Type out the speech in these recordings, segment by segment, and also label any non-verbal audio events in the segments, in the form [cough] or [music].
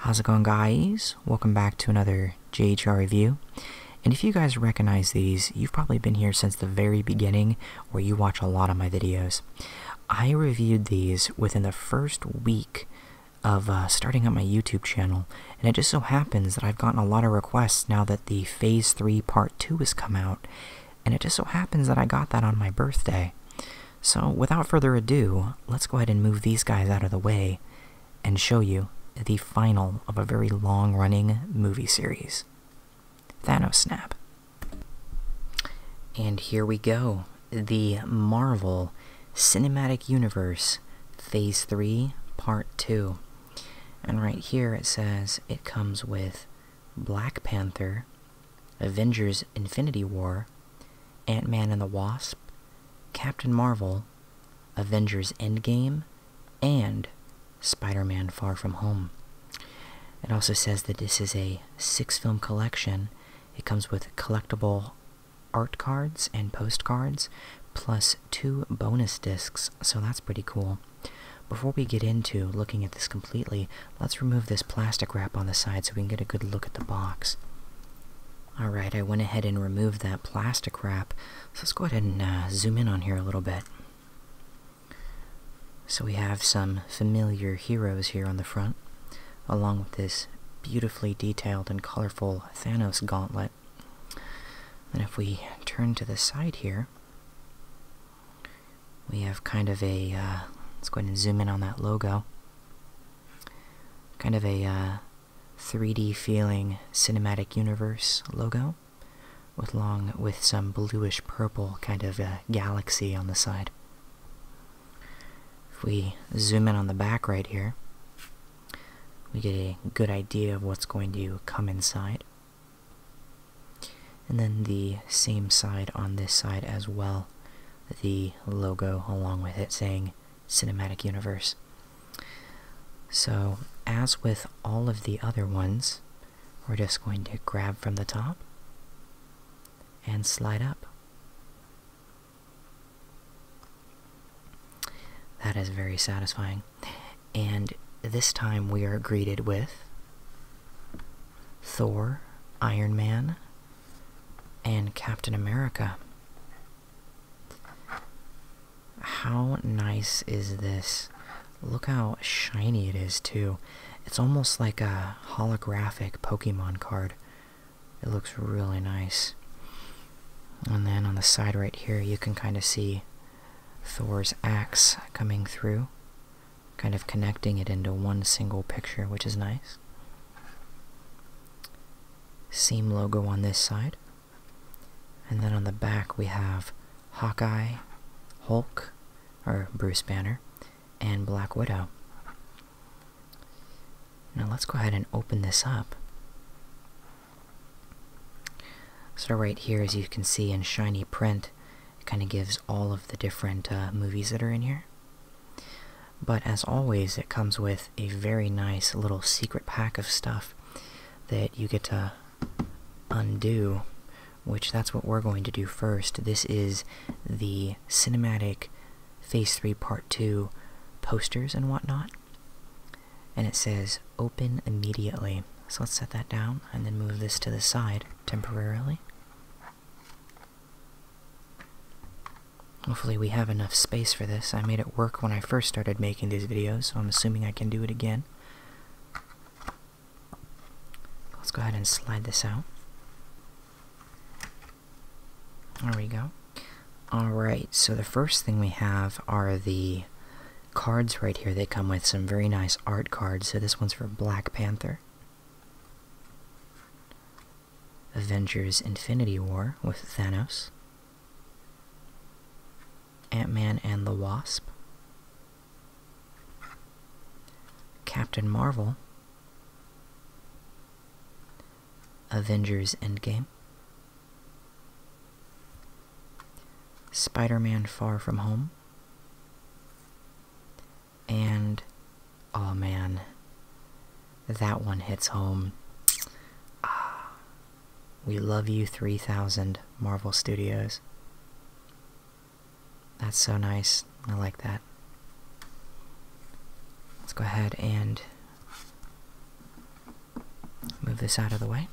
How's it going guys? Welcome back to another JHR review. And if you guys recognize these, you've probably been here since the very beginning where you watch a lot of my videos. I reviewed these within the first week of uh, starting up my YouTube channel, and it just so happens that I've gotten a lot of requests now that the Phase 3 Part 2 has come out, and it just so happens that I got that on my birthday. So, without further ado, let's go ahead and move these guys out of the way and show you the final of a very long running movie series Thanos Snap. And here we go the Marvel Cinematic Universe Phase 3, Part 2. And right here it says it comes with Black Panther, Avengers Infinity War, Ant Man and the Wasp, Captain Marvel, Avengers Endgame, and Spider Man Far From Home. It also says that this is a six film collection. It comes with collectible art cards and postcards, plus two bonus discs, so that's pretty cool. Before we get into looking at this completely, let's remove this plastic wrap on the side so we can get a good look at the box. Alright, I went ahead and removed that plastic wrap, so let's go ahead and uh, zoom in on here a little bit. So we have some familiar heroes here on the front, along with this beautifully detailed and colorful Thanos gauntlet. And if we turn to the side here, we have kind of a, uh, let's go ahead and zoom in on that logo, kind of a 3D uh, feeling cinematic universe logo with long with some bluish purple kind of uh, galaxy on the side. If we zoom in on the back right here, we get a good idea of what's going to come inside. And then the same side on this side as well, the logo along with it saying Cinematic Universe. So, as with all of the other ones, we're just going to grab from the top and slide up. That is very satisfying. And this time we are greeted with Thor, Iron Man, and Captain America. How nice is this? Look how shiny it is, too. It's almost like a holographic Pokemon card. It looks really nice. And then on the side right here, you can kind of see Thor's axe coming through kind of connecting it into one single picture, which is nice. Seam logo on this side. And then on the back we have Hawkeye, Hulk, or Bruce Banner, and Black Widow. Now let's go ahead and open this up. So right here, as you can see in shiny print, it kind of gives all of the different uh, movies that are in here. But as always, it comes with a very nice little secret pack of stuff that you get to undo, which that's what we're going to do first. This is the cinematic Phase 3 Part 2 posters and whatnot. And it says open immediately. So let's set that down and then move this to the side temporarily. Hopefully we have enough space for this. I made it work when I first started making these videos, so I'm assuming I can do it again. Let's go ahead and slide this out. There we go. Alright, so the first thing we have are the cards right here. They come with some very nice art cards. So this one's for Black Panther. Avengers Infinity War with Thanos, Ant Man and the Wasp, Captain Marvel, Avengers Endgame, Spider Man Far From Home, and oh man, that one hits home. Ah, we love you 3000 Marvel Studios. That's so nice. I like that. Let's go ahead and move this out of the way.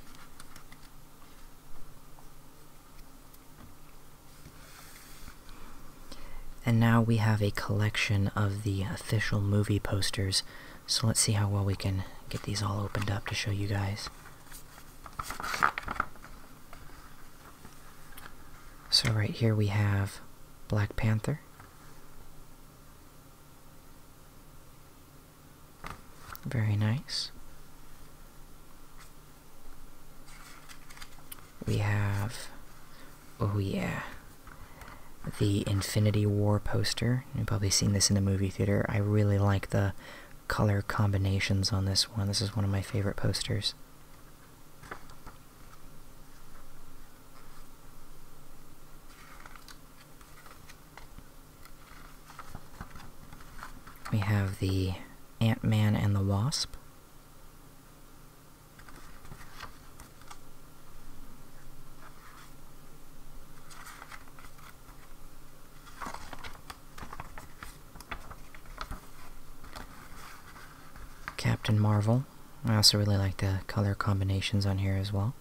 And now we have a collection of the official movie posters. So let's see how well we can get these all opened up to show you guys. So right here we have Black Panther. Very nice. We have, oh yeah, the Infinity War poster. You've probably seen this in the movie theater. I really like the color combinations on this one. This is one of my favorite posters. We have the Ant-Man and the Wasp. Captain Marvel. I also really like the color combinations on here as well.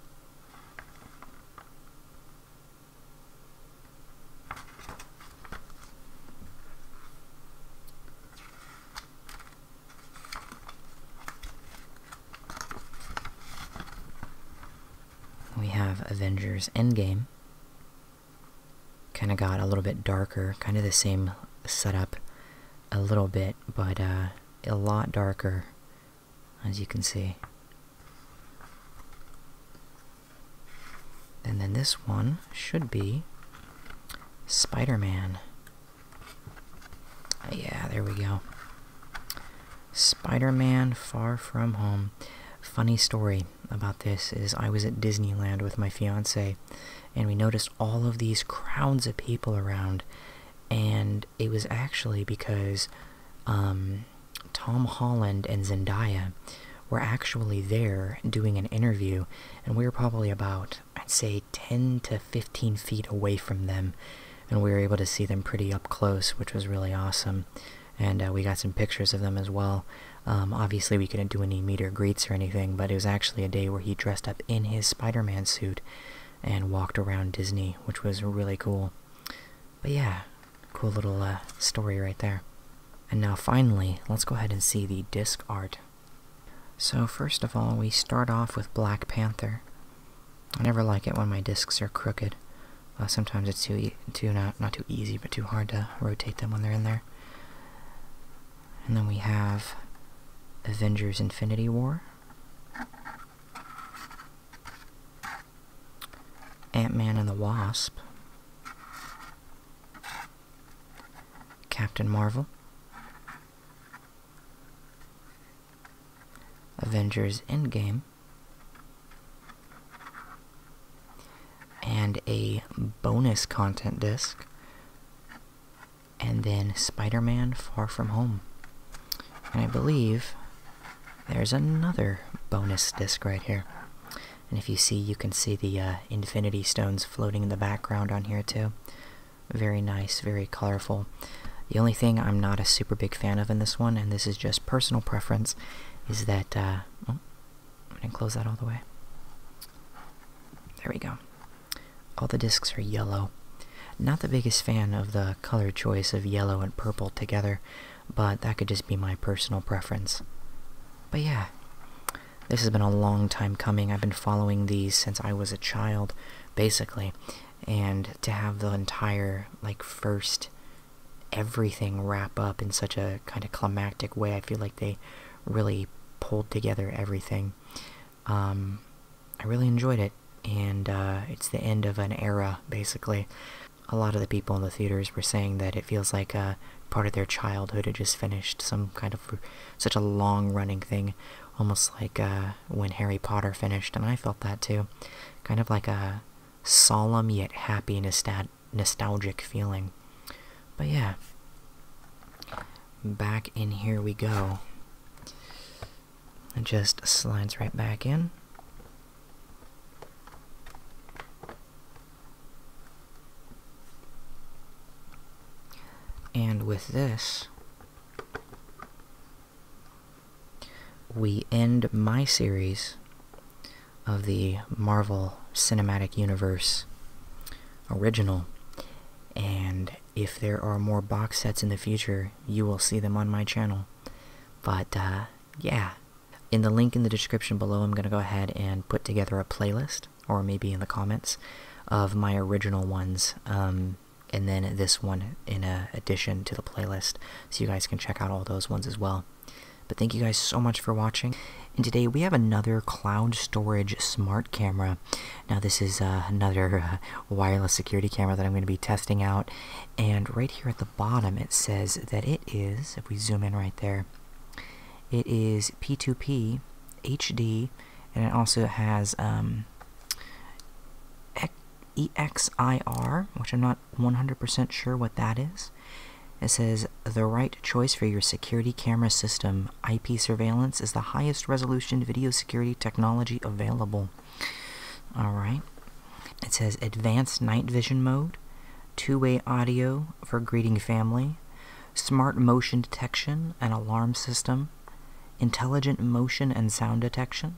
We have Avengers Endgame. Kind of got a little bit darker, kind of the same setup a little bit, but uh, a lot darker, as you can see. And then this one should be Spider Man. Yeah, there we go. Spider Man Far From Home. Funny story about this is I was at Disneyland with my fiance and we noticed all of these crowds of people around and it was actually because um, Tom Holland and Zendaya were actually there doing an interview, and we were probably about, I'd say, 10 to 15 feet away from them, and we were able to see them pretty up close, which was really awesome. And uh, we got some pictures of them as well. Um, obviously, we couldn't do any meet or greets or anything, but it was actually a day where he dressed up in his Spider Man suit and walked around Disney, which was really cool. But yeah, cool little uh, story right there. And now finally, let's go ahead and see the disc art so, first of all, we start off with Black Panther. I never like it when my discs are crooked. Uh, sometimes it's too, too not, not too easy, but too hard to rotate them when they're in there. And then we have Avengers Infinity War. Ant-Man and the Wasp. Captain Marvel, Avengers Endgame, and a bonus content disc, and then Spider Man Far From Home. And I believe there's another bonus disc right here. And if you see, you can see the uh, infinity stones floating in the background on here too. Very nice, very colorful. The only thing I'm not a super big fan of in this one, and this is just personal preference, is that, uh, oh, I didn't close that all the way. There we go. All the discs are yellow. Not the biggest fan of the color choice of yellow and purple together, but that could just be my personal preference. But yeah, this has been a long time coming. I've been following these since I was a child, basically. And to have the entire, like, first everything wrap up in such a kind of climactic way, I feel like they really pulled together everything. Um, I really enjoyed it, and uh, it's the end of an era, basically. A lot of the people in the theaters were saying that it feels like a uh, part of their childhood had just finished, some kind of such a long running thing, almost like uh, when Harry Potter finished, and I felt that too. Kind of like a solemn yet happy nostalgic feeling. But yeah, back in here we go. It just slides right back in. And with this, we end my series of the Marvel Cinematic Universe original. And if there are more box sets in the future, you will see them on my channel. But uh, yeah, in the link in the description below, I'm going to go ahead and put together a playlist or maybe in the comments of my original ones um, and then this one in uh, addition to the playlist so you guys can check out all those ones as well but thank you guys so much for watching and today we have another cloud storage smart camera now this is uh, another uh, wireless security camera that i'm going to be testing out and right here at the bottom it says that it is if we zoom in right there it is p2p HD, and it also has um, EXIR, which I'm not 100% sure what that is. It says the right choice for your security camera system. IP surveillance is the highest resolution video security technology available. All right. It says advanced night vision mode, two way audio for greeting family, smart motion detection and alarm system, intelligent motion and sound detection.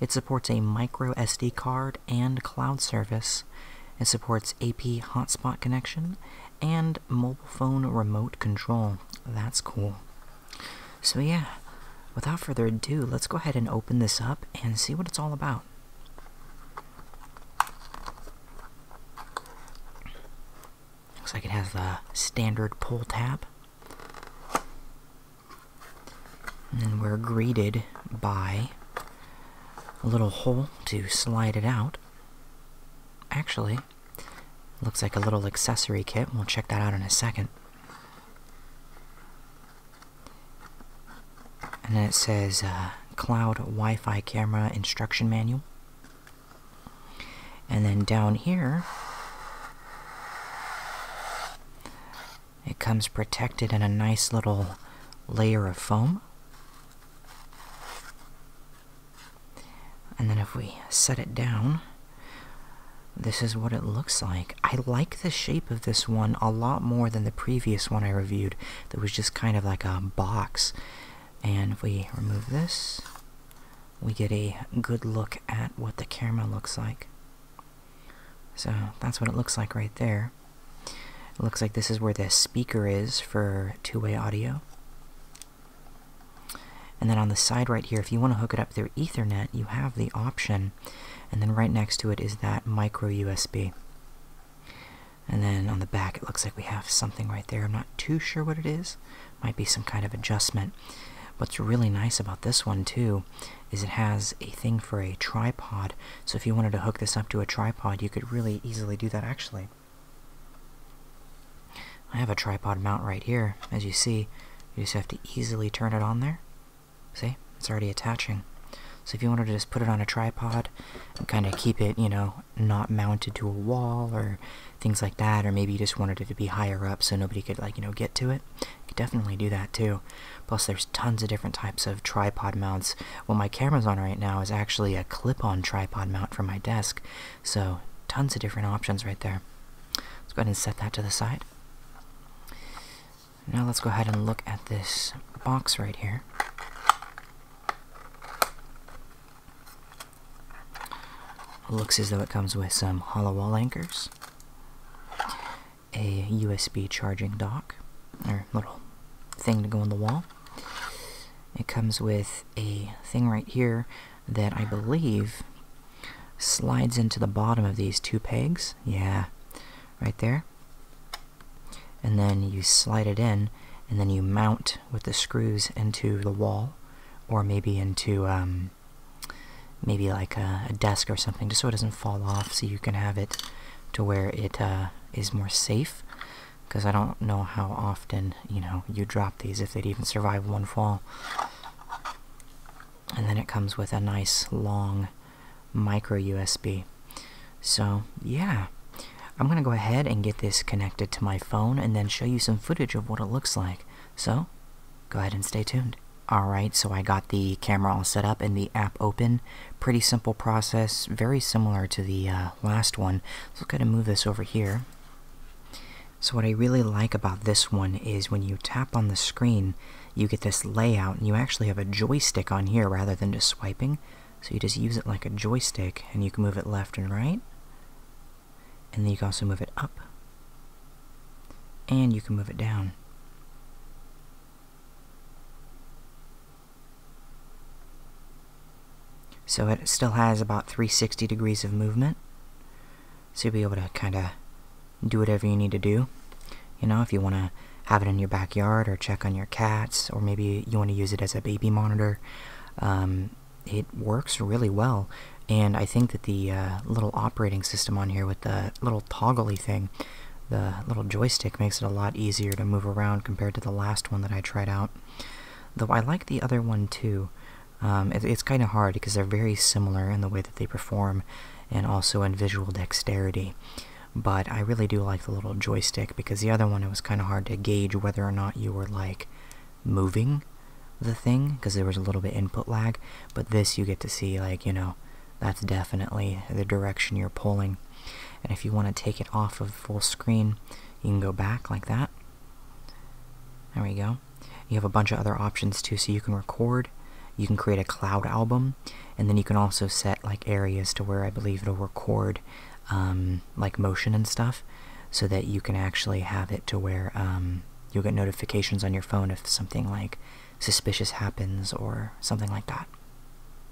It supports a micro SD card and cloud service. It supports AP hotspot connection and mobile phone remote control. That's cool. So, yeah, without further ado, let's go ahead and open this up and see what it's all about. Looks like it has the standard pull tab. And then we're greeted by a little hole to slide it out. Actually, looks like a little accessory kit. We'll check that out in a second. And then it says uh, Cloud Wi Fi Camera Instruction Manual. And then down here, it comes protected in a nice little layer of foam. And then if we set it down, this is what it looks like. I like the shape of this one a lot more than the previous one I reviewed that was just kind of like a box and if we remove this, we get a good look at what the camera looks like. So that's what it looks like right there. It looks like this is where the speaker is for two-way audio. And then on the side right here, if you want to hook it up through Ethernet, you have the option. And then right next to it is that micro USB. And then on the back, it looks like we have something right there. I'm not too sure what it is. Might be some kind of adjustment. What's really nice about this one, too, is it has a thing for a tripod. So if you wanted to hook this up to a tripod, you could really easily do that, actually. I have a tripod mount right here. As you see, you just have to easily turn it on there. See? It's already attaching. So if you wanted to just put it on a tripod and kind of keep it, you know, not mounted to a wall or things like that, or maybe you just wanted it to be higher up so nobody could, like, you know, get to it, you could definitely do that too. Plus, there's tons of different types of tripod mounts. What my camera's on right now is actually a clip on tripod mount for my desk, so tons of different options right there. Let's go ahead and set that to the side. Now, let's go ahead and look at this box right here. Looks as though it comes with some hollow wall anchors, a USB charging dock, or little thing to go on the wall. It comes with a thing right here that I believe slides into the bottom of these two pegs. Yeah, right there. And then you slide it in, and then you mount with the screws into the wall, or maybe into um, maybe like a, desk or something, just so it doesn't fall off. So you can have it to where it uh, is more safe. Because I don't know how often you know you drop these if they'd even survive one fall. And then it comes with a nice long micro USB. So yeah. I'm going to go ahead and get this connected to my phone and then show you some footage of what it looks like. So, go ahead and stay tuned. Alright, so I got the camera all set up and the app open. Pretty simple process, very similar to the uh, last one. So let's go ahead and move this over here. So what I really like about this one is when you tap on the screen, you get this layout and you actually have a joystick on here rather than just swiping. So you just use it like a joystick and you can move it left and right and then you can also move it up and you can move it down so it still has about 360 degrees of movement so you'll be able to kind of do whatever you need to do you know if you want to have it in your backyard or check on your cats or maybe you want to use it as a baby monitor um, it works really well, and I think that the uh, little operating system on here with the little toggly thing, the little joystick, makes it a lot easier to move around compared to the last one that I tried out. Though I like the other one too. Um, it's kind of hard because they're very similar in the way that they perform, and also in visual dexterity. But I really do like the little joystick because the other one it was kind of hard to gauge whether or not you were like moving the thing because there was a little bit input lag but this you get to see like you know that's definitely the direction you're pulling and if you want to take it off of full screen you can go back like that there we go you have a bunch of other options too so you can record you can create a cloud album and then you can also set like areas to where i believe it'll record um, like motion and stuff, so that you can actually have it to where um, you'll get notifications on your phone if something like suspicious happens or something like that.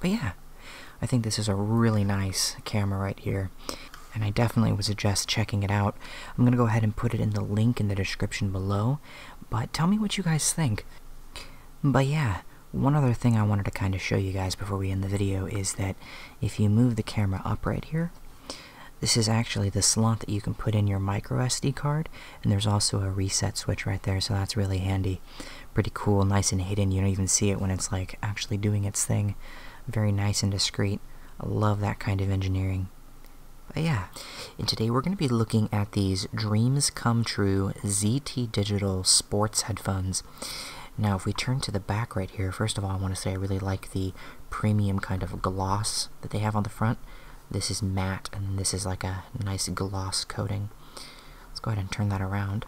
But yeah, I think this is a really nice camera right here. And I definitely would suggest checking it out. I'm going to go ahead and put it in the link in the description below. But tell me what you guys think. But yeah, one other thing I wanted to kind of show you guys before we end the video is that if you move the camera up right here, this is actually the slot that you can put in your micro SD card, and there's also a reset switch right there, so that's really handy. Pretty cool, nice and hidden. You don't even see it when it's like actually doing its thing. Very nice and discreet. love that kind of engineering. But yeah, and today we're going to be looking at these Dreams Come True ZT Digital Sports Headphones. Now, if we turn to the back right here, first of all, I want to say I really like the premium kind of gloss that they have on the front. This is matte, and this is like a nice gloss coating. Let's go ahead and turn that around.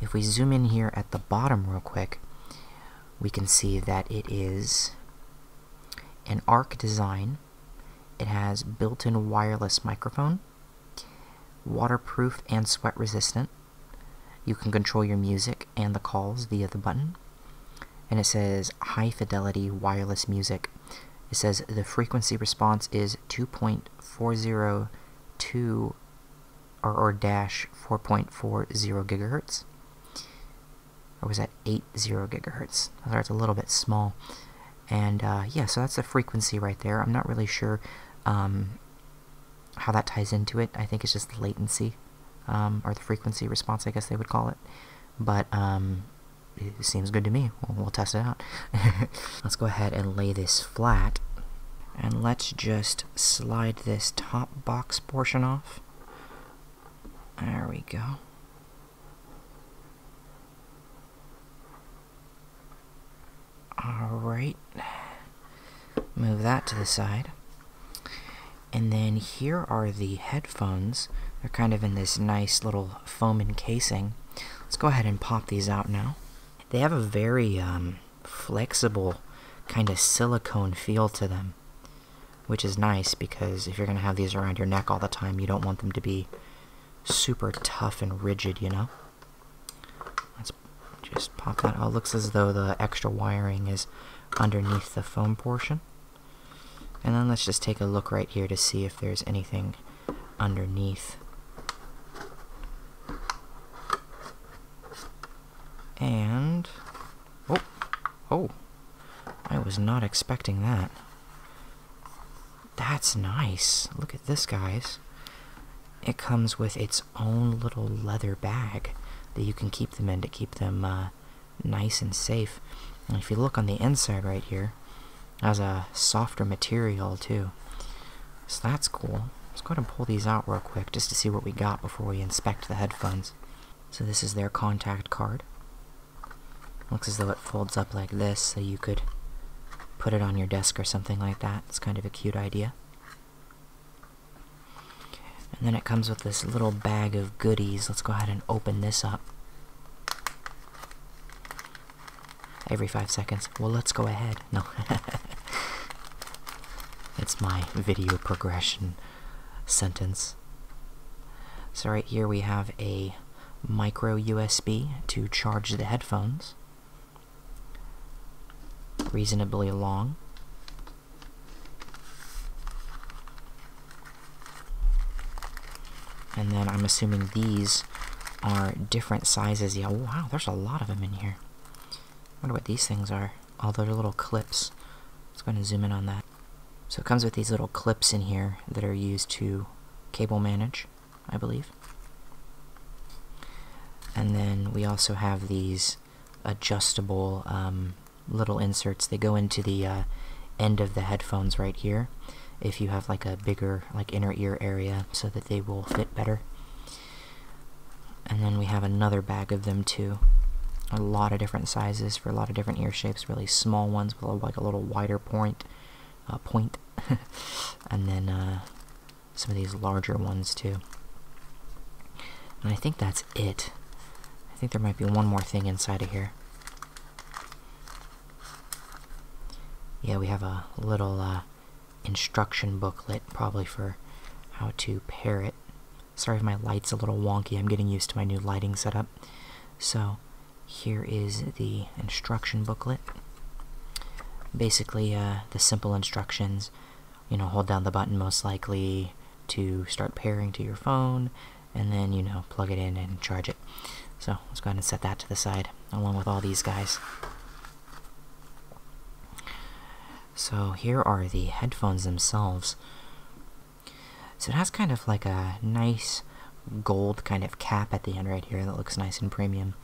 If we zoom in here at the bottom real quick, we can see that it is an ARC design. It has built-in wireless microphone, waterproof and sweat resistant, you can control your music and the calls via the button. And it says high fidelity wireless music. It says the frequency response is 2.402 or, or dash 4.40 gigahertz. Or was that 8.0 gigahertz? Sorry, it's a little bit small. And uh, yeah, so that's the frequency right there. I'm not really sure um, how that ties into it, I think, is just the latency, um, or the frequency response, I guess they would call it. But um, it seems good to me. we'll test it out. [laughs] let's go ahead and lay this flat, and let's just slide this top box portion off. There we go. Alright. Move that to the side. And then here are the headphones. They're kind of in this nice little foam encasing. Let's go ahead and pop these out now. They have a very um, flexible kind of silicone feel to them, which is nice because if you're going to have these around your neck all the time, you don't want them to be super tough and rigid, you know? just pop that out. Oh, looks as though the extra wiring is underneath the foam portion. And then let's just take a look right here to see if there's anything underneath. And, oh, oh, I was not expecting that. That's nice. Look at this, guys it comes with its own little leather bag that you can keep them in to keep them uh, nice and safe. And if you look on the inside right here, it has a softer material too. So that's cool. Let's go ahead and pull these out real quick just to see what we got before we inspect the headphones. So this is their contact card. Looks as though it folds up like this so you could put it on your desk or something like that. It's kind of a cute idea. And then it comes with this little bag of goodies. Let's go ahead and open this up. Every five seconds. Well, let's go ahead. No. [laughs] it's my video progression sentence. So right here we have a micro USB to charge the headphones. Reasonably long. And then I'm assuming these are different sizes. Yeah, wow, there's a lot of them in here. I wonder what these things are. All they little clips. Let's go ahead and zoom in on that. So it comes with these little clips in here that are used to cable manage, I believe. And then we also have these adjustable um, little inserts. They go into the uh, end of the headphones right here if you have like a bigger like inner ear area so that they will fit better. And then we have another bag of them too. A lot of different sizes for a lot of different ear shapes, really small ones with like a little wider point, A uh, point. [laughs] and then uh, some of these larger ones too. And I think that's it. I think there might be one more thing inside of here. Yeah, we have a little uh, instruction booklet, probably for how to pair it. Sorry if my light's a little wonky, I'm getting used to my new lighting setup. So, here is the instruction booklet. Basically, uh, the simple instructions you know, hold down the button most likely to start pairing to your phone, and then, you know, plug it in and charge it. So let's go ahead and set that to the side, along with all these guys. So here are the headphones themselves. So it has kind of like a nice gold kind of cap at the end right here that looks nice and premium.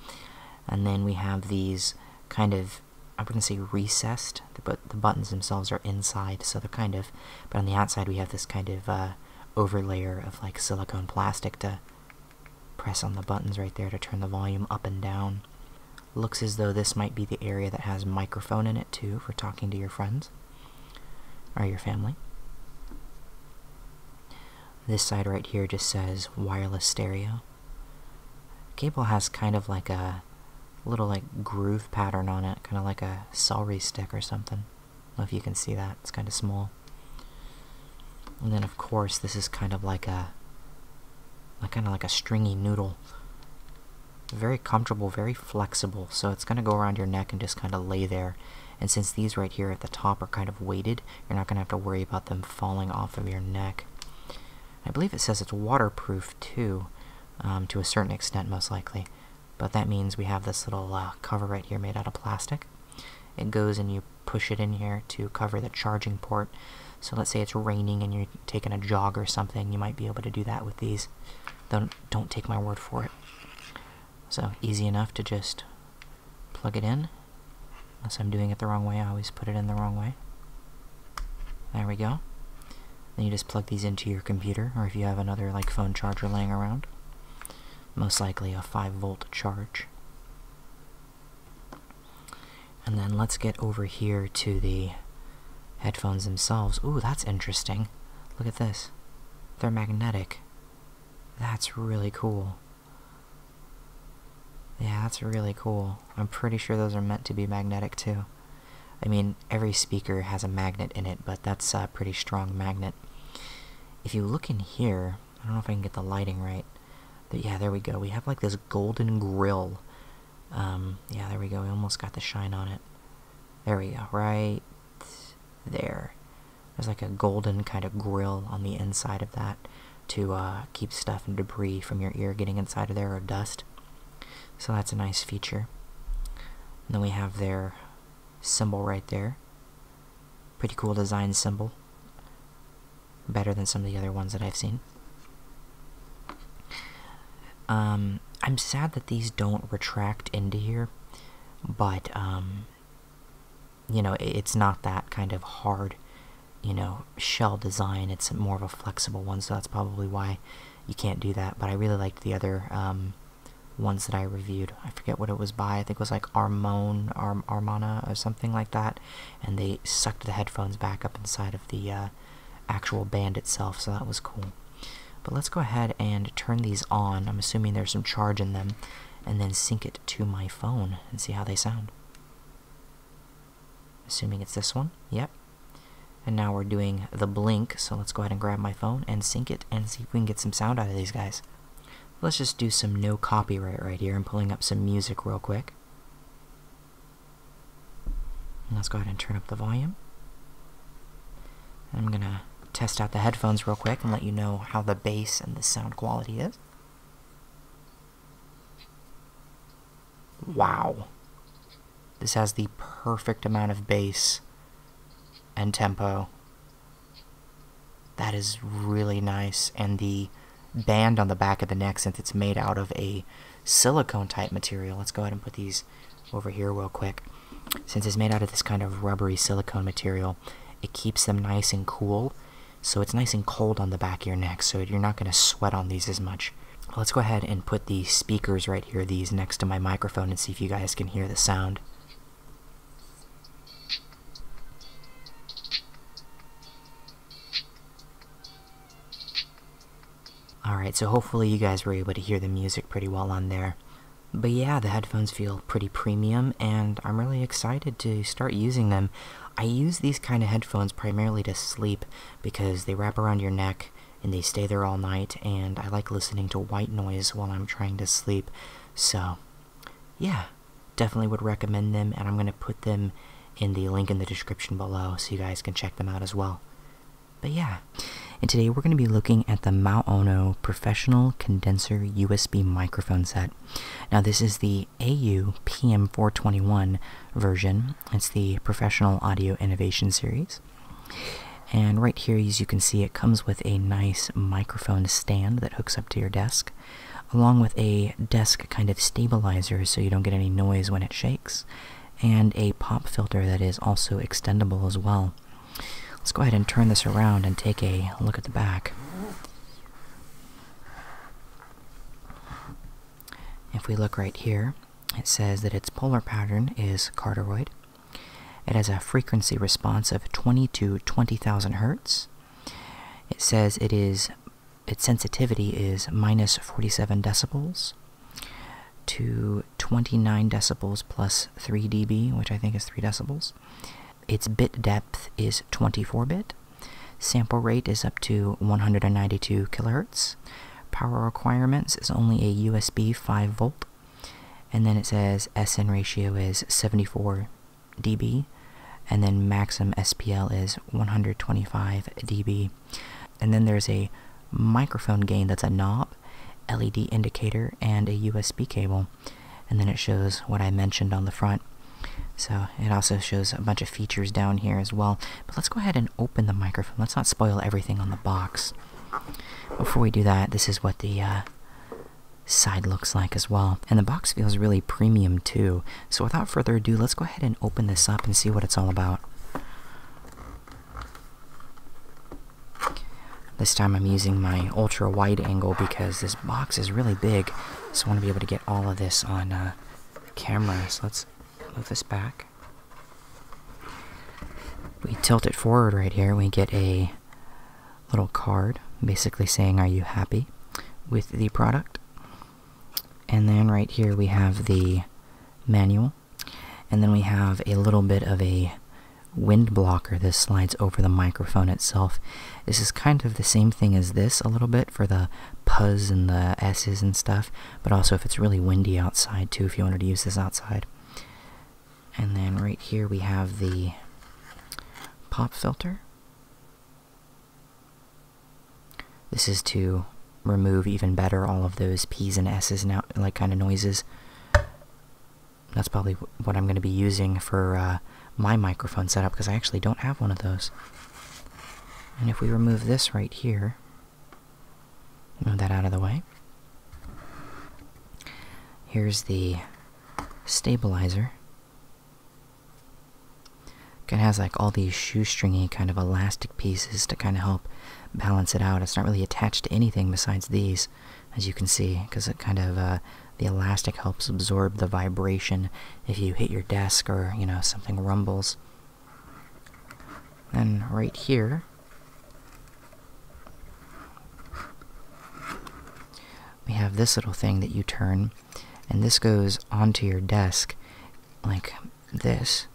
And then we have these kind of I wouldn't say recessed, but the buttons themselves are inside, so they're kind of. But on the outside, we have this kind of uh, overlayer of like silicone plastic to press on the buttons right there to turn the volume up and down. Looks as though this might be the area that has microphone in it too for talking to your friends or your family. This side right here just says wireless stereo. Cable has kind of like a a little like groove pattern on it, kind of like a celery stick or something. know if you can see that, it's kind of small. And then of course this is kind of like a like kind of like a stringy noodle. Very comfortable, very flexible, so it's going to go around your neck and just kind of lay there. And since these right here at the top are kind of weighted, you're not going to have to worry about them falling off of your neck. I believe it says it's waterproof move um, to a certain extent most likely. But that means we have this little uh, cover right here made out of plastic. It goes and you push it in here to cover the charging port. So let's say it's raining and you're taking a jog or something, you might be able to do that with these. Don't, don't take my word for it. So easy enough to just plug it in. Unless I'm doing it the wrong way, I always put it in the wrong way. There we go. Then you just plug these into your computer, or if you have another like phone charger laying around. Most likely a 5 volt charge. And then let's get over here to the headphones themselves. Ooh, that's interesting. Look at this. They're magnetic. That's really cool. Yeah, that's really cool. I'm pretty sure those are meant to be magnetic too. I mean, every speaker has a magnet in it, but that's a pretty strong magnet. If you look in here, I don't know if I can get the lighting right. But yeah, there we go. We have like this golden grill. Um, yeah, there we go. We almost got the shine on it. There we go. Right there. There's like a golden kind of grill on the inside of that to uh, keep stuff and debris from your ear getting inside of there or dust. So that's a nice feature. And then we have their symbol right there. Pretty cool design symbol. Better than some of the other ones that I've seen. Um, I'm sad that these don't retract into here, but, um, you know, it's not that kind of hard you know, shell design. It's more of a flexible one, so that's probably why you can't do that. But I really liked the other um, ones that I reviewed. I forget what it was by. I think it was like Armon, Arm Armana, or something like that. And they sucked the headphones back up inside of the uh, actual band itself, so that was cool. But let's go ahead and turn these on. I'm assuming there's some charge in them, and then sync it to my phone and see how they sound assuming it's this one, yep. And now we're doing the blink, so let's go ahead and grab my phone and sync it and see if we can get some sound out of these guys. Let's just do some no copyright right here and pulling up some music real quick. let's go ahead and turn up the volume. I'm gonna test out the headphones real quick and let you know how the bass and the sound quality is. Wow. This has the perfect amount of bass and tempo. That is really nice. And the band on the back of the neck, since it's made out of a silicone type material, let's go ahead and put these over here real quick. Since it's made out of this kind of rubbery silicone material, it keeps them nice and cool. So it's nice and cold on the back of your neck, so you're not going to sweat on these as much. Let's go ahead and put these speakers right here, these next to my microphone, and see if you guys can hear the sound. Alright, so hopefully you guys were able to hear the music pretty well on there. But yeah, the headphones feel pretty premium, and I'm really excited to start using them. I use these kind of headphones primarily to sleep, because they wrap around your neck and they stay there all night, and I like listening to white noise while I'm trying to sleep. So, yeah, definitely would recommend them, and I'm going to put them in the link in the description below so you guys can check them out as well. But yeah, and today we're going to be looking at the Mount Professional Condenser USB Microphone Set. Now this is the AU PM421 version, it's the Professional Audio Innovation Series. And right here, as you can see, it comes with a nice microphone stand that hooks up to your desk, along with a desk kind of stabilizer so you don't get any noise when it shakes, and a pop filter that is also extendable as well. Let's go ahead and turn this around and take a look at the back. If we look right here, it says that its polar pattern is cardioid. It has a frequency response of 20 to 20,000 hertz. It says it is its sensitivity is minus 47 decibels to 29 decibels plus 3 dB, which I think is 3 decibels. Its bit depth is 24 bit. Sample rate is up to 192 kilohertz. Power requirements is only a USB 5 volt. And then it says SN ratio is 74 dB. And then maximum SPL is 125 dB. And then there's a microphone gain that's a knob, LED indicator, and a USB cable. And then it shows what I mentioned on the front. So it also shows a bunch of features down here as well. But let's go ahead and open the microphone. Let's not spoil everything on the box. Before we do that, this is what the uh, side looks like as well. And the box feels really premium too. So without further ado, let's go ahead and open this up and see what it's all about. This time I'm using my ultra wide angle because this box is really big. So I want to be able to get all of this on uh, camera. So let's move this back. We tilt it forward right here, we get a little card basically saying, Are you happy with the product? And then right here we have the manual, and then we have a little bit of a wind blocker. This slides over the microphone itself. This is kind of the same thing as this a little bit for the p's and the s's and stuff, but also if it's really windy outside too, if you wanted to use this outside. And then right here we have the pop filter. This is to remove even better all of those P's and S's and like kind of noises. That's probably what I'm going to be using for uh, my microphone setup because I actually don't have one of those. And if we remove this right here, Move that out of the way. Here's the stabilizer. It has like all these shoestringy kind of elastic pieces to kind of help balance it out. It's not really attached to anything besides these, as you can see, because it kind of uh, the elastic helps absorb the vibration if you hit your desk or you know something rumbles. Then right here, we have this little thing that you turn, and this goes onto your desk like this.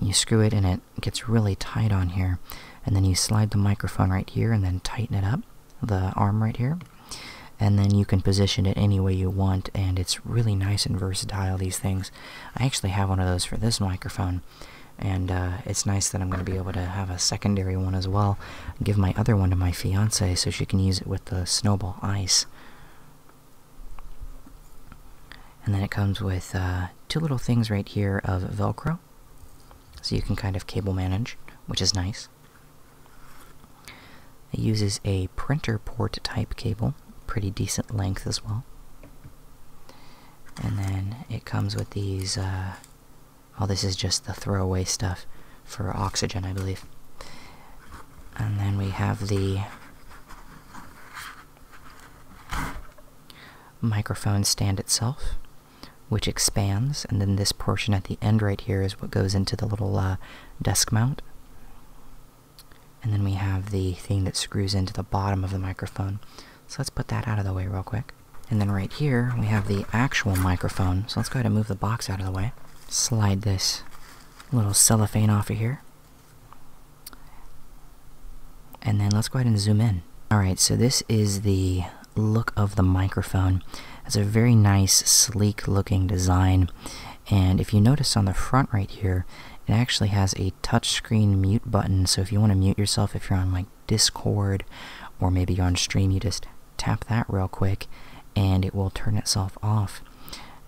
You screw it, and it gets really tight on here. And then you slide the microphone right here, and then tighten it up, the arm right here. And then you can position it any way you want, and it's really nice and versatile, these things. I actually have one of those for this microphone, and uh, it's nice that I'm going to be able to have a secondary one as well. Give my other one to my fiance so she can use it with the snowball ice. And then it comes with uh, two little things right here of Velcro, so you can kind of cable manage, which is nice. It uses a printer port type cable, pretty decent length as well. And then it comes with these. Uh, well, oh, this is just the throwaway stuff for oxygen, I believe. And then we have the microphone stand itself, which expands, and then this portion at the end right here is what goes into the little uh, desk mount. And then we have the thing that screws into the bottom of the microphone. So let's put that out of the way real quick. And then right here, we have the actual microphone. So let's go ahead and move the box out of the way. Slide this little cellophane off of here. And then let's go ahead and zoom in. Alright, so this is the look of the microphone. It's a very nice, sleek looking design. And if you notice on the front right here, it actually has a touchscreen mute button. So if you want to mute yourself, if you're on like Discord or maybe you're on stream, you just tap that real quick and it will turn itself off.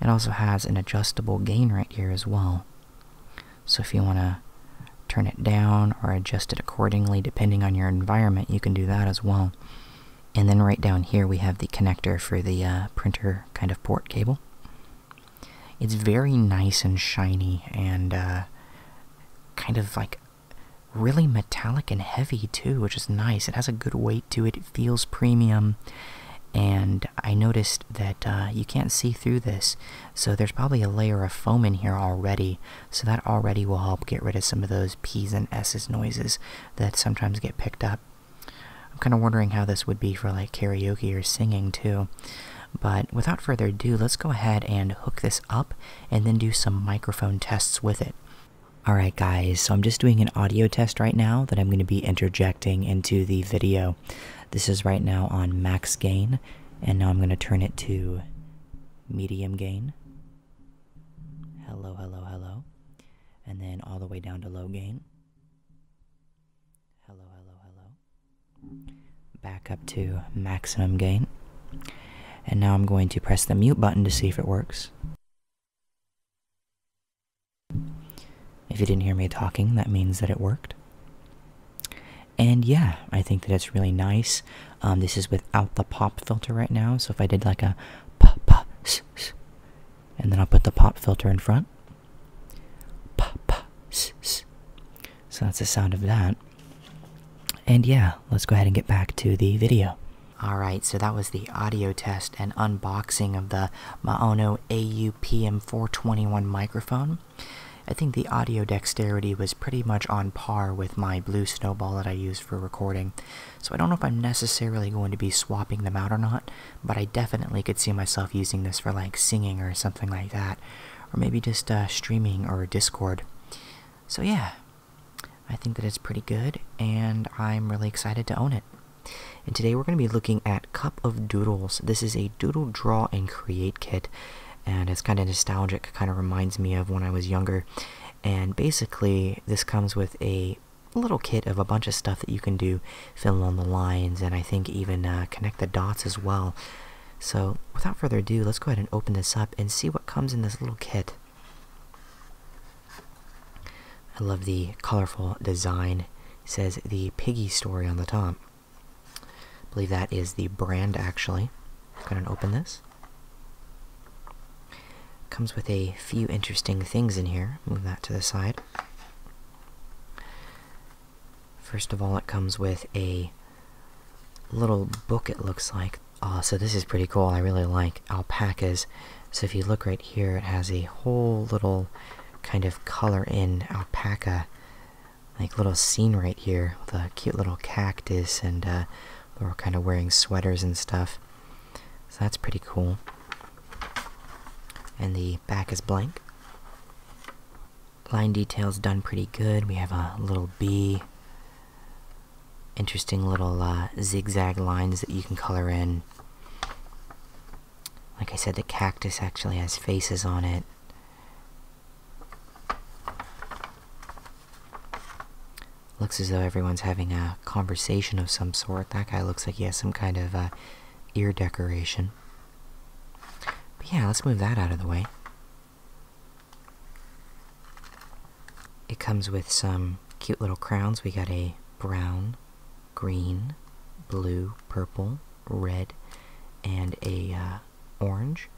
It also has an adjustable gain right here as well. So if you want to turn it down or adjust it accordingly depending on your environment, you can do that as well. And then right down here we have the connector for the uh, printer kind of port cable. It's very nice and shiny and uh, kind of like really metallic and heavy too, which is nice. It has a good weight to it, it feels premium. And I noticed that uh, you can't see through this, so there's probably a layer of foam in here already. So that already will help get rid of some of those P's and S's noises that sometimes get picked up I'm kind of wondering how this would be for like karaoke or singing too. But without further ado, let's go ahead and hook this up and then do some microphone tests with it. Alright guys, so I'm just doing an audio test right now that I'm going to be interjecting into the video. This is right now on max gain, and now I'm going to turn it to medium gain. Hello, hello, hello. And then all the way down to low gain. Hello, hello, hello. Back up to maximum gain. And now I'm going to press the mute button to see if it works. If you didn't hear me talking, that means that it worked. And yeah, I think that it's really nice. Um, this is without the pop filter right now, so if I did like a pop, pop, and then I'll put the pop filter in front, Pa, pa, s, s. So that's the sound of that. And yeah, let's go ahead and get back to the video. Alright, so that was the audio test and unboxing of the Maono AUPM421 microphone. I think the audio dexterity was pretty much on par with my blue snowball that I use for recording, so I don't know if I'm necessarily going to be swapping them out or not, but I definitely could see myself using this for like singing or something like that, or maybe just uh, streaming or Discord. So, yeah, I think that it's pretty good, and I'm really excited to own it. And today we're going to be looking at Cup of Doodles. This is a doodle draw and create kit, and it's kind of nostalgic, kind of reminds me of when I was younger. And basically, this comes with a little kit of a bunch of stuff that you can do fill in the lines and I think even uh, connect the dots as well. So without further ado, let's go ahead and open this up and see what comes in this little kit. I love the colorful design. says the Piggy story on the top. believe that is the brand actually. Go ahead and open this. Comes with a few interesting things in here. Move that to the side. First of all, it comes with a little book, it looks like. Uh, so this is pretty cool. I really like alpacas. So if you look right here, it has a whole little kind of color in alpaca, like little scene right here with a cute little cactus and uh, they're kind of wearing sweaters and stuff. So that's pretty cool. And the back is blank line details done pretty good. We have a little B. Interesting little uh, zigzag lines that you can color in. Like I said, the cactus actually has faces on it. Looks as though everyone's having a conversation of some sort. That guy looks like he has some kind of uh, ear decoration but yeah, let's move that out of the way. It comes with some cute little crowns. We got a brown, green, blue, purple, red, and a uh, orange.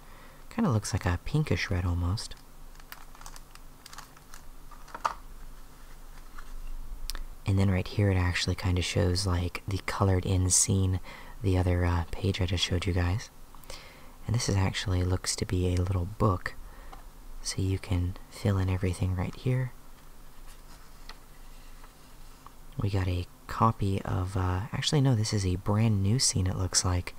Kind of looks like a pinkish red almost and then right here it actually kind of shows like the colored in scene the other uh, page i just showed you guys and this is actually looks to be a little book so you can fill in everything right here we got a copy of uh, actually no this is a brand new scene it looks like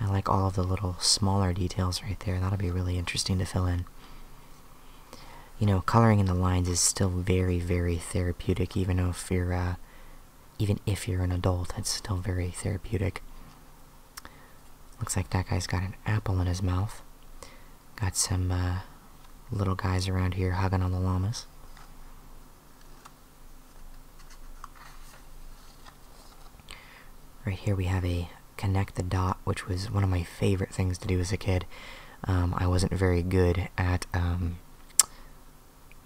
i like all of the little smaller details right there that'll be really interesting to fill in you know, coloring in the lines is still very, very therapeutic. Even if you're, uh, even if you're an adult, it's still very therapeutic. Looks like that guy's got an apple in his mouth. Got some uh, little guys around here hugging on the llamas. Right here we have a connect the dot, which was one of my favorite things to do as a kid. Um, I wasn't very good at um,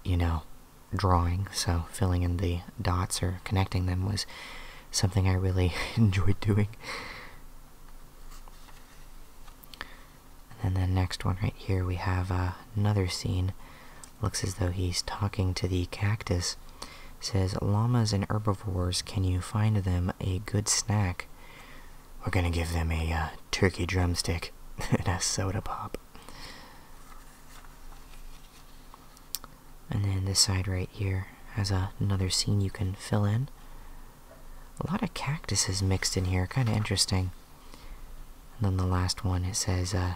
you know, drawing, so filling in the dots or connecting them was something I really [laughs] enjoyed doing. And then next one right here, we have uh, another scene. Looks as though he's talking to the cactus. says, llamas and herbivores, can you find them a good snack? We're gonna give them a uh, turkey drumstick [laughs] and a soda pop. And then this side right here has another scene you can fill in. A lot of cactuses mixed in here, kind of interesting. And then the last one, it says, uh,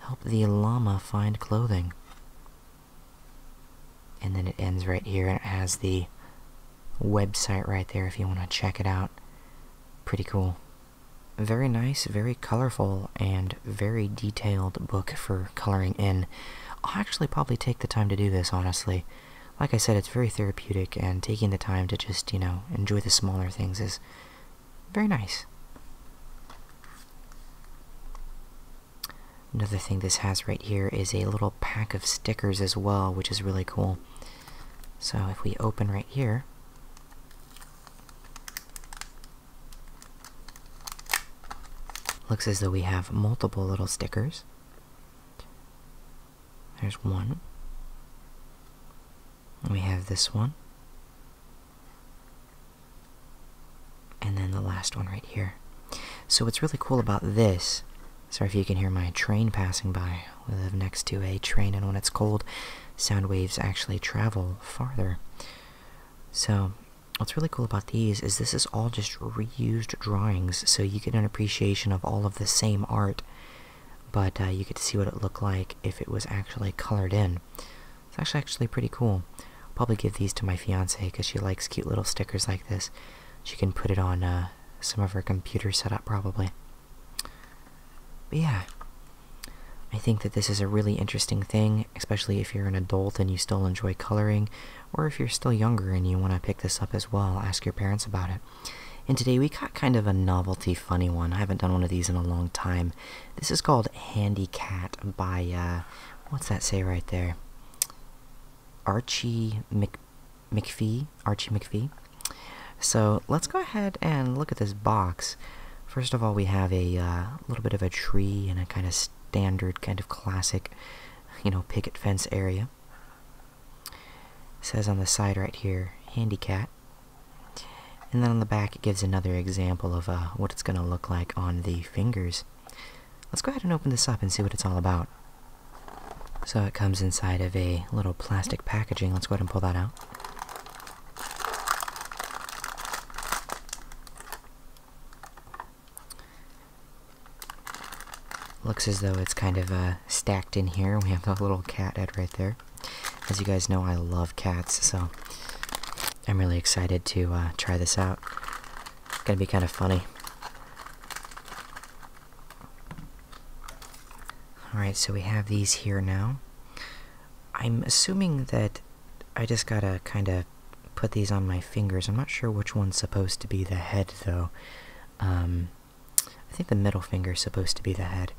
help the llama find clothing. And then it ends right here, and it has the website right there if you want to check it out. Pretty cool. Very nice, very colorful, and very detailed book for coloring in. I'll actually probably take the time to do this, honestly. Like I said, it's very therapeutic, and taking the time to just, you know, enjoy the smaller things is very nice. Another thing this has right here is a little pack of stickers as well, which is really cool. So if we open right here, looks as though we have multiple little stickers. There's one. We have this one. And then the last one right here. So what's really cool about this Sorry if you can hear my train passing by. We live next to a train, and when it's cold, sound waves actually travel farther. So, what's really cool about these is this is all just reused drawings, so you get an appreciation of all of the same art, but uh, you get to see what it looked like if it was actually colored in. It's actually actually pretty cool. probably give these to my fiance because she likes cute little stickers like this. She can put it on uh, some of her computer setup probably. But yeah, I think that this is a really interesting thing, especially if you're an adult and you still enjoy coloring, or if you're still younger and you want to pick this up as well, ask your parents about it. And today we got kind of a novelty funny one. I haven't done one of these in a long time. This is called Handy Cat by, uh, what's that say right there? Archie Mc McPhee, Archie McPhee. So let's go ahead and look at this box. First of all, we have a uh, little bit of a tree and a kind of standard, kind of classic, you know, picket fence area. says on the side right here, "Handy Cat," And then on the back, it gives another example of uh, what it's going to look like on the fingers. Let's go ahead and open this up and see what it's all about. So it comes inside of a little plastic packaging. Let's go ahead and pull that out. Looks as though it's kind of uh, stacked in here. We have a little cat head right there. As you guys know, I love cats, so I'm really excited to uh, try this out. gonna be kind of funny. Alright, so we have these here now. I'm assuming that I just gotta kind of put these on my fingers. I'm not sure which one's supposed to be the head, though. Um, I think the middle finger's supposed to be the head.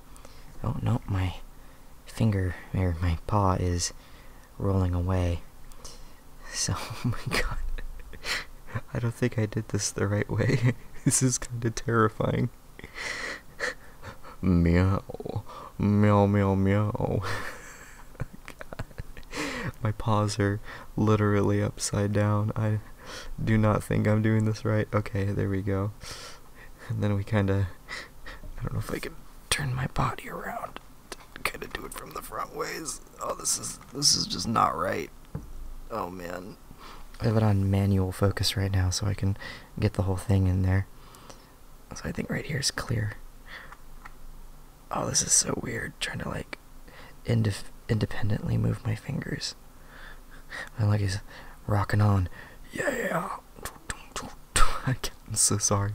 Oh, no, my finger, or my paw is rolling away. [laughs] So, [laughs] oh my god. [laughs] I don't think I did this the right way. this is kind of terrible meow, meow, meow, meow. [laughs] My paws are literally upside down. I do not think I'm doing this right. Okay, there we go. And then we kind of, I don't know if I can turn my body around. Kind of do it from the front ways. Oh, this is this is just not right. Oh man. I have it on manual focus right now so I can get the whole thing in there. So I think right here is clear. Oh, this is so weird trying to like independently move my fingers. My leg is rocking on. Yeah! [laughs] I'm so sorry.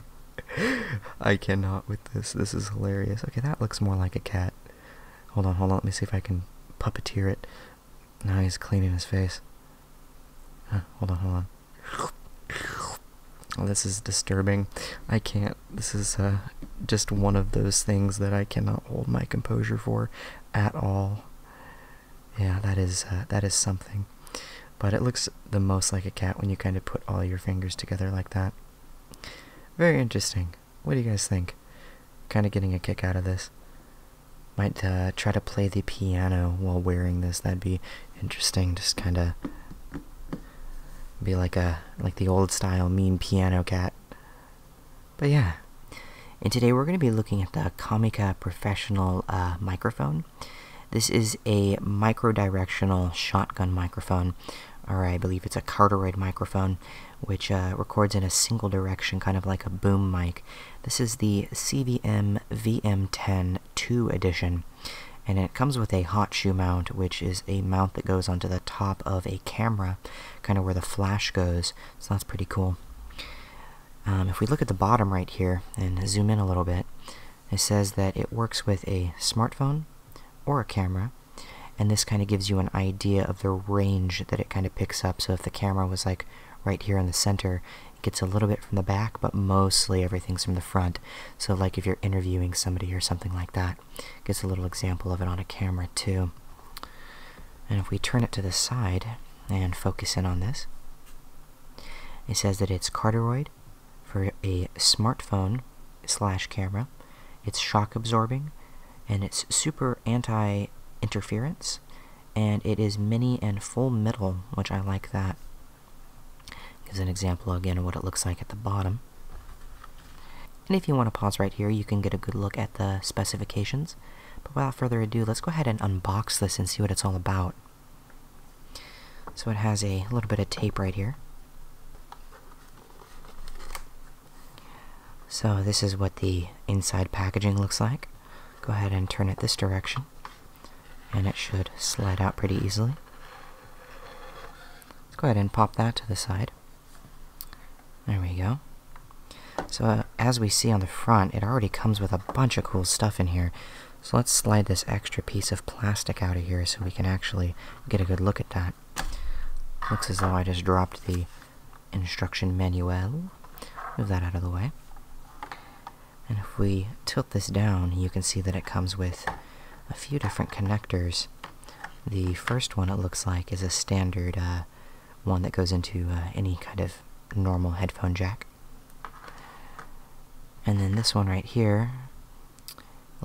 I cannot with this. This is hilarious. Okay, that looks more like a cat. Hold on, hold on. Let me see if I can puppeteer it. Now he's cleaning his face. hold on, hold on. Oh, this is disturbing. I can't. This is uh, just one of those things that I cannot hold my composure for at all. Yeah, that is uh, that is something. But it looks the most like a cat when you kind of put all your fingers together like that. Very interesting. What do you guys think? Kind of getting a kick out of this. Might uh, try to play the piano while wearing this. That'd be interesting. Just kind of be like a like the old style mean piano cat. But yeah. And today we're going to be looking at the Comica Professional uh, microphone. This is a micro-directional shotgun microphone, or I believe it's a Carteroid microphone which uh, records in a single direction, kind of like a boom mic. This is the CVM VM10 2 edition, and it comes with a hot shoe mount, which is a mount that goes onto the top of a camera, kind of where the flash goes, so that's pretty cool. Um, if we look at the bottom right here and zoom in a little bit, it says that it works with a smartphone or a camera, and this kind of gives you an idea of the range that it kind of picks up. So if the camera was like right here in the center. It gets a little bit from the back, but mostly everything's from the front. So like if you're interviewing somebody or something like that, it gets a little example of it on a camera too. And if we turn it to the side and focus in on this, it says that it's Carteroid for a smartphone slash camera. It's shock absorbing and it's super anti interference and it is mini and full metal, which I like that. Gives an example again of what it looks like at the bottom. And if you want to pause right here, you can get a good look at the specifications. But without further ado, let's go ahead and unbox this and see what it's all about. So it has a little bit of tape right here. So this is what the inside packaging looks like. Go ahead and turn it this direction, and it should slide out pretty easily. Let's go ahead and pop that to the side. There we go. So uh, as we see on the front, it already comes with a bunch of cool stuff in here. So let's slide this extra piece of plastic out of here so we can actually get a good look at that. Looks as though I just dropped the instruction manual. Move that out of the way. And if we tilt this down, you can see that it comes with a few different connectors. The first one, it looks like, is a standard uh, one that goes into uh, any kind of normal headphone jack. And then this one right here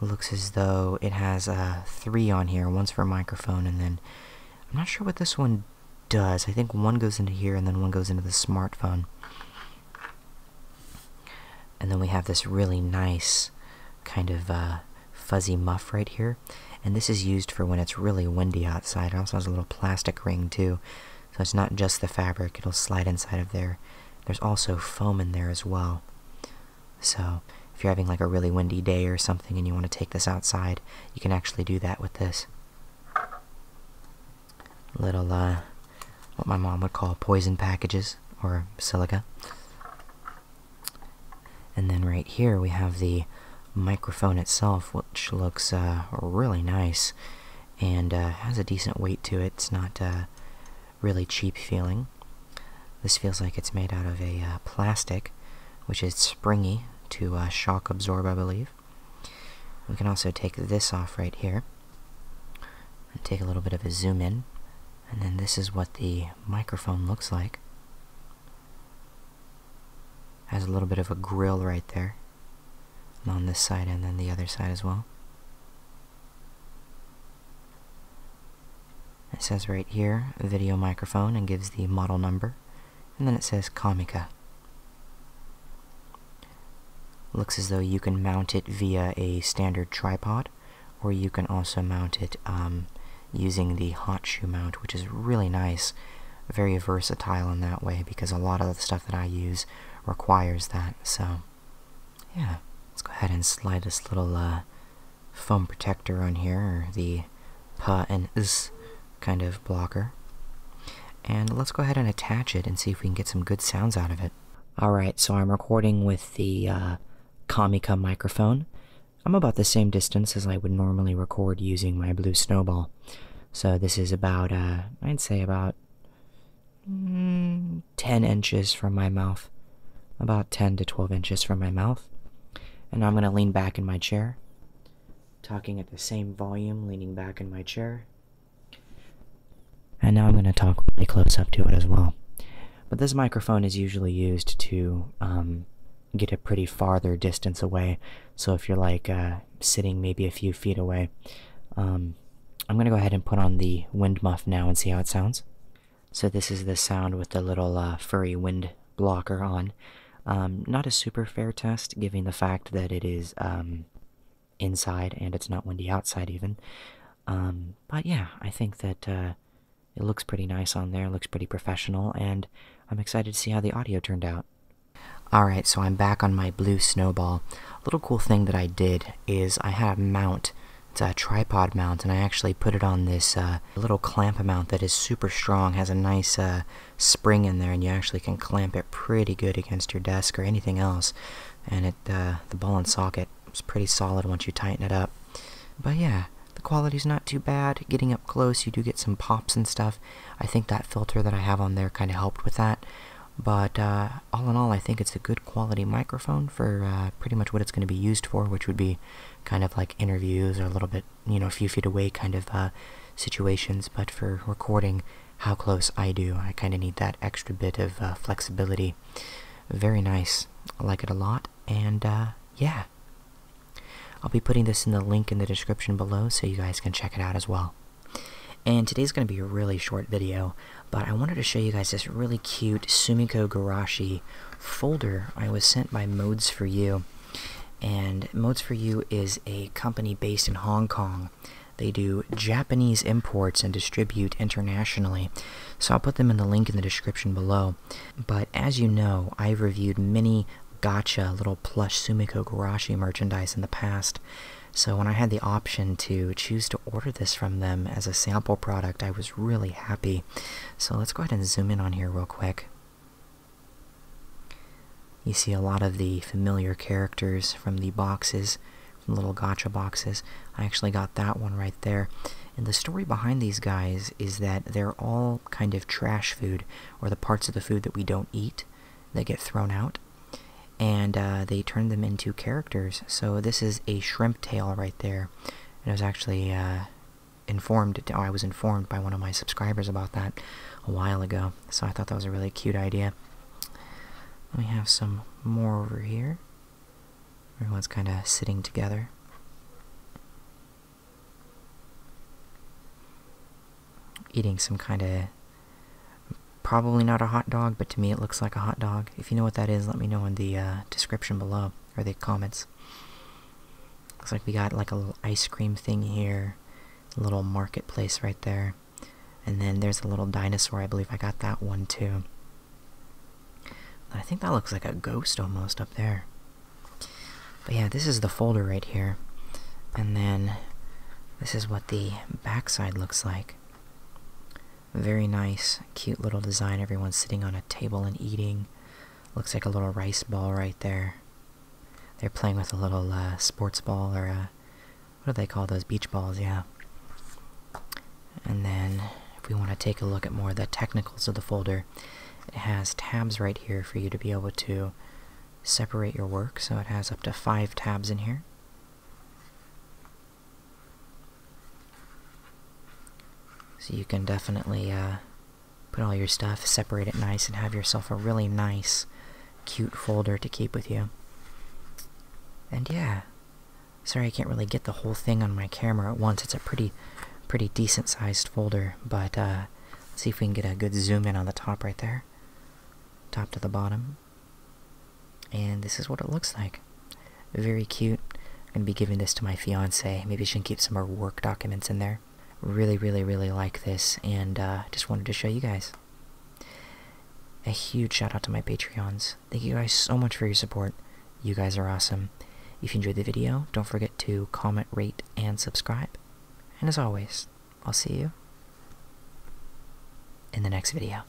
looks as though it has uh, three on here. One's for microphone, and then I'm not sure what this one does. I think one goes into here and then one goes into the smartphone. And then we have this really nice kind of uh, fuzzy muff right here. And this is used for when it's really windy outside. It also has a little plastic ring too. So it's not just the fabric, it'll slide inside of there. There's also foam in there as well. So if you're having like a really windy day or something and you want to take this outside, you can actually do that with this little, uh, what my mom would call poison packages or silica. And then right here we have the microphone itself, which looks uh, really nice and uh, has a decent weight to it. It's not really cheap feeling. This feels like it's made out of a plastic, which is springy to uh, shock absorb, I believe. We can also take this off right here and take a little bit of a zoom in. And then this is what the microphone looks like. Has a little bit of a grill right there on this side and then the other side as well. It says right here, video microphone, and gives the model number and then it says Comica. Looks as though you can mount it via a standard tripod, or you can also mount it um, using the hot shoe mount, which is really nice. Very versatile in that way, because a lot of the stuff that I use requires that, so yeah. Let's go ahead and slide this little uh, foam protector on here, the pa and z kind of blocker. And let's go ahead and attach it and see if we can get some good sounds out of it. Alright, so I'm recording with the uh, Comica microphone. I'm about the same distance as I would normally record using my blue snowball. So this is about, uh, I'd say about mm, 10 inches from my mouth. About 10 to 12 inches from my mouth. And I'm going to lean back in my chair talking at the same volume, leaning back in my chair. And now I'm going to talk really close up to it as well. But this microphone is usually used to um, get a pretty farther distance away. So if you're like uh, sitting maybe a few feet away, um, I'm going to go ahead and put on the wind muff now and see how it sounds. So this is the sound with the little uh, furry wind blocker on. Um, not a super fair test, given the fact that it is um, inside and it's not windy outside, even. Um, but yeah, I think that uh, it looks pretty nice on there, looks pretty professional, and I'm excited to see how the audio turned out. Alright, so I'm back on my blue snowball. A little cool thing that I did is I had a mount. It's a tripod mount, and I actually put it on this uh, little clamp mount that is super strong, has a nice uh, spring in there and you actually can clamp it pretty good against your desk or anything else and it uh, the ball and socket is pretty solid once you tighten it up but yeah the quality's not too bad getting up close you do get some pops and stuff i think that filter that i have on there kind of helped with that but uh, all in all i think it's a good quality microphone for uh, pretty much what it's going to be used for which would be kind of like interviews or a little bit you know, a few feet away kind of uh, situations, but for recording how close I do, I kind of need that extra bit of uh, flexibility. Very nice. I like it a lot, and uh, yeah. I'll be putting this in the link in the description below so you guys can check it out as well. And today's going to be a really short video, but I wanted to show you guys this really cute Sumiko Garashi folder I was sent by Modes for You. And Modes for You is a company based in Hong Kong. They do Japanese imports and distribute internationally. So I'll put them in the link in the description below. But as you know, I've reviewed many gotcha little plush Sumiko Garashi merchandise in the past. So when I had the option to choose to order this from them as a sample product, I was really happy. So let's go ahead and zoom in on here real quick. You see a lot of the familiar characters from the boxes, from little gotcha boxes. I actually got that one right there. And the story behind these guys is that they're all kind of trash food, or the parts of the food that we don't eat that get thrown out. And uh, they turn them into characters. So this is a shrimp tail right there. And it was actually uh, informed I was informed by one of my subscribers about that a while ago. So I thought that was a really cute idea. We have some more over here. Everyone's kind of sitting together. Eating some kind of probably not a hot dog, but to me it looks like a hot dog. If you know what that is, let me know in the uh, description below or the comments. Looks like we got like a little ice cream thing here little marketplace right there. And then there's a little dinosaur, I believe I got that one too. I think that looks like a ghost almost up there. But yeah, this is the folder right here. And then this is what the backside looks like. Very nice, cute little design. Everyone's sitting on a table and eating. Looks like a little rice ball right there. They're playing with a little uh, sports ball or uh, what do they call those beach balls? Yeah. And then if we want to take a look at more of the technicals of the folder, it has tabs right here for you to be able to separate your work. So it has up to five tabs in here. So you can definitely uh, put all your stuff, separate it nice, and have yourself a really nice, cute folder to keep with you. And yeah, sorry I can't really get the whole thing on my camera at once. It's a pretty, pretty decent sized folder, but uh, see if we can get a good zoom in on the top right there, top to the bottom. And this is what it looks like. Very cute. I'm gonna be giving this to my fiance. Maybe she can keep some of her work documents in there. Really, really, really like this, and uh, just wanted to show you guys. A huge shout out to my Patreons. Thank you guys so much for your support. You guys are awesome. If you enjoyed the video, don't forget to comment, rate, and subscribe. And as always, I'll see you in the next video.